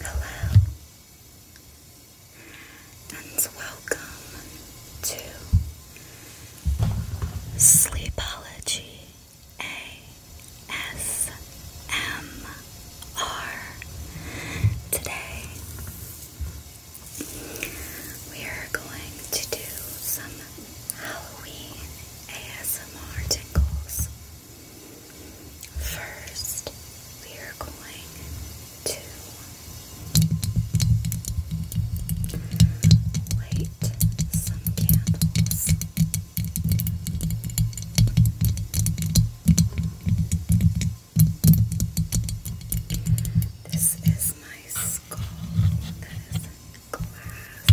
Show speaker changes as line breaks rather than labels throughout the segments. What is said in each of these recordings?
Hello, and welcome to Sleepology ASMR. Today, we are going to do some Halloween ASMR tingles. First, we are going to light some candles. This is my skull that is glass.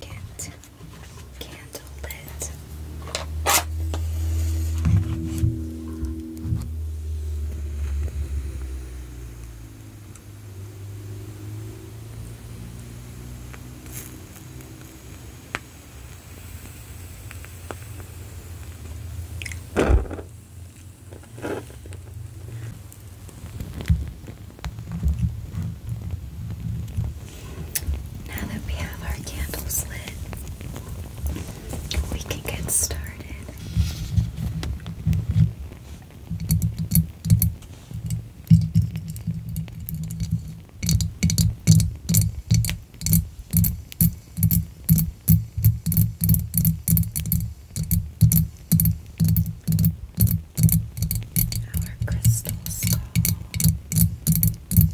Can't, can't hold
it. Now that we have our candles lit, we can get started. Our crystal skull. Our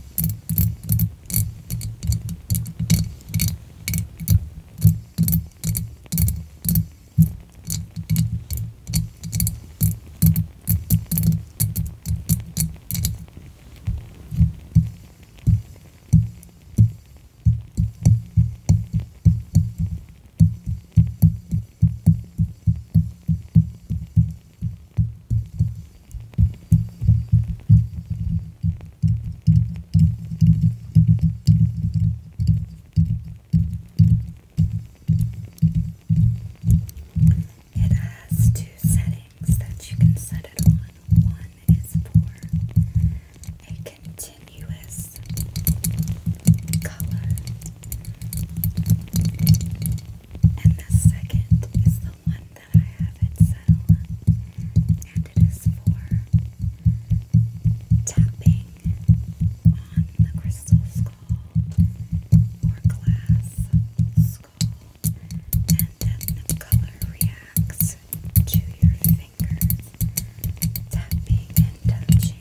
it has two settings that you can set it on. One is for a continuous color and the second is the one that I have at Settle, and it is for tapping on the crystal skull or glass skull, and then the color reacts to your fingers, tapping and touching.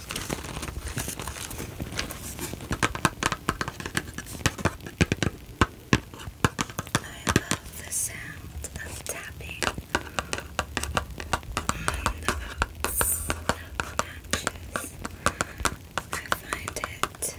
love the sound of tapping on the box of matches. I find it very relaxing.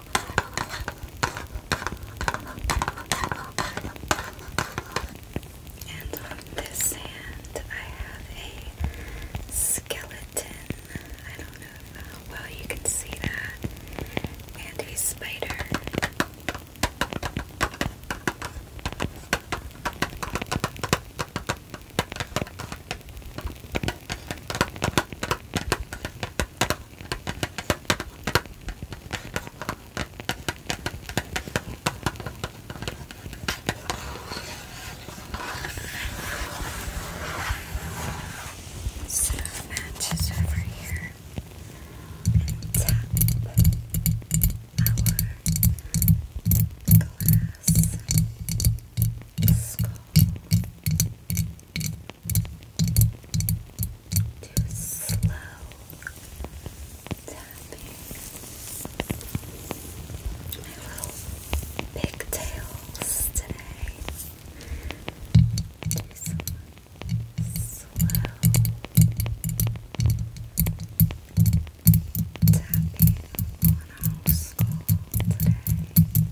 And on this hand, I have a skeleton. I don't know how uh, well you can see that. And a spider. Set up matches over here and tap our glass skull to slow tapping my little pigtails today. Do some slow tapping on our skull today.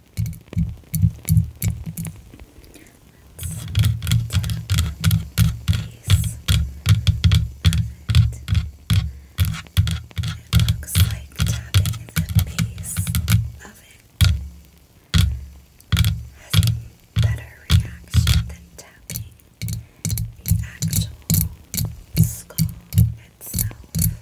It looks like tapping the piece of has a better reaction than tapping the actual skull itself.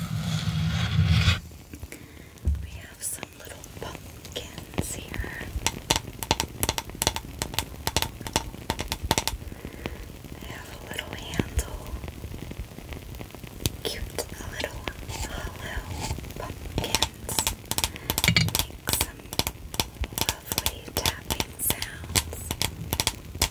We have some little pumpkins here. have a little handle. Cute little hollow pumpkins. Make some lovely tapping sounds.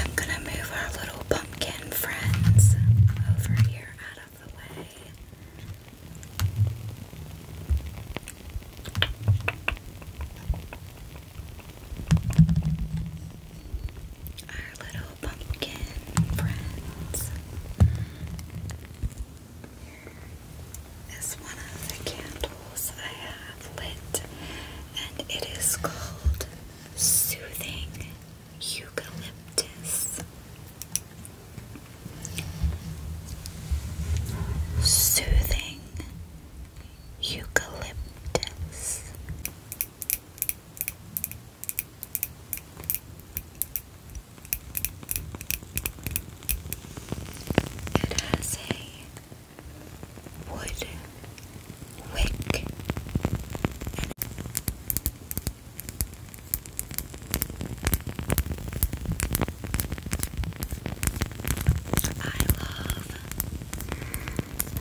I'm going to move our little pumpkin friends over here out the way. Our little pumpkin friends. Here is one of the candles I have lit, and it is called Soothing eucalyptus. Soothing eucalyptus. It has a wood wick. I love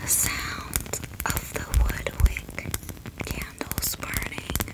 the sound of the wood candles burning.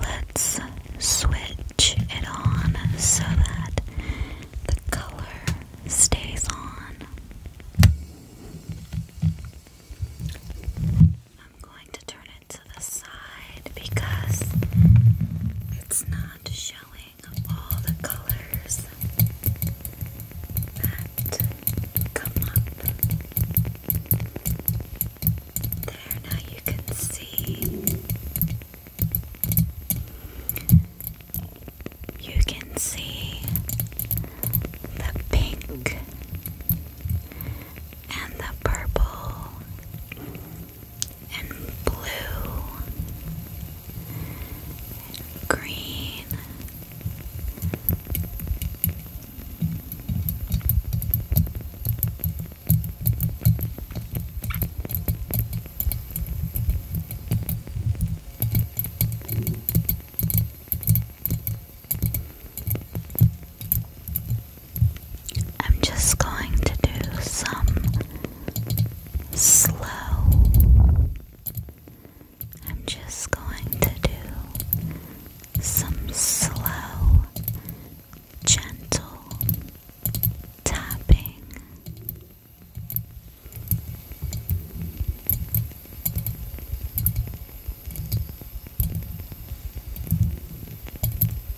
Let's switch it on so that
the color stays on. I'm going to turn it to the side because it's not showing of all the colors that come up. There, now you can see. You can see the pink and the purple and blue and green. I'm just going to do some slow.
I'm just going to do some slow, gentle tapping.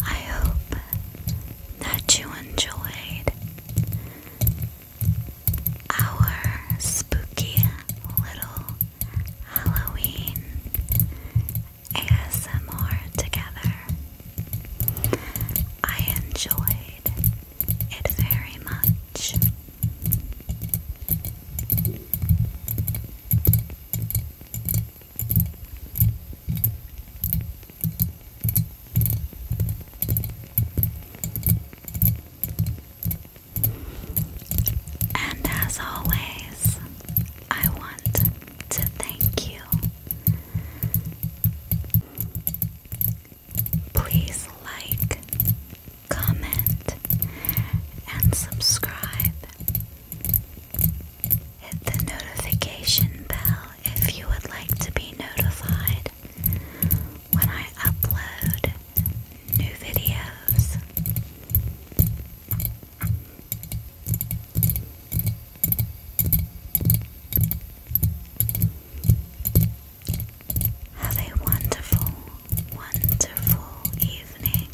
I hope that you enjoyed our spooky little Halloween ASMR together. I enjoyed it very much. And as always, I want to thank you. Please like, comment, and subscribe Hit the notification bell if you would like to be notified when I upload new videos. Have a wonderful, wonderful evening.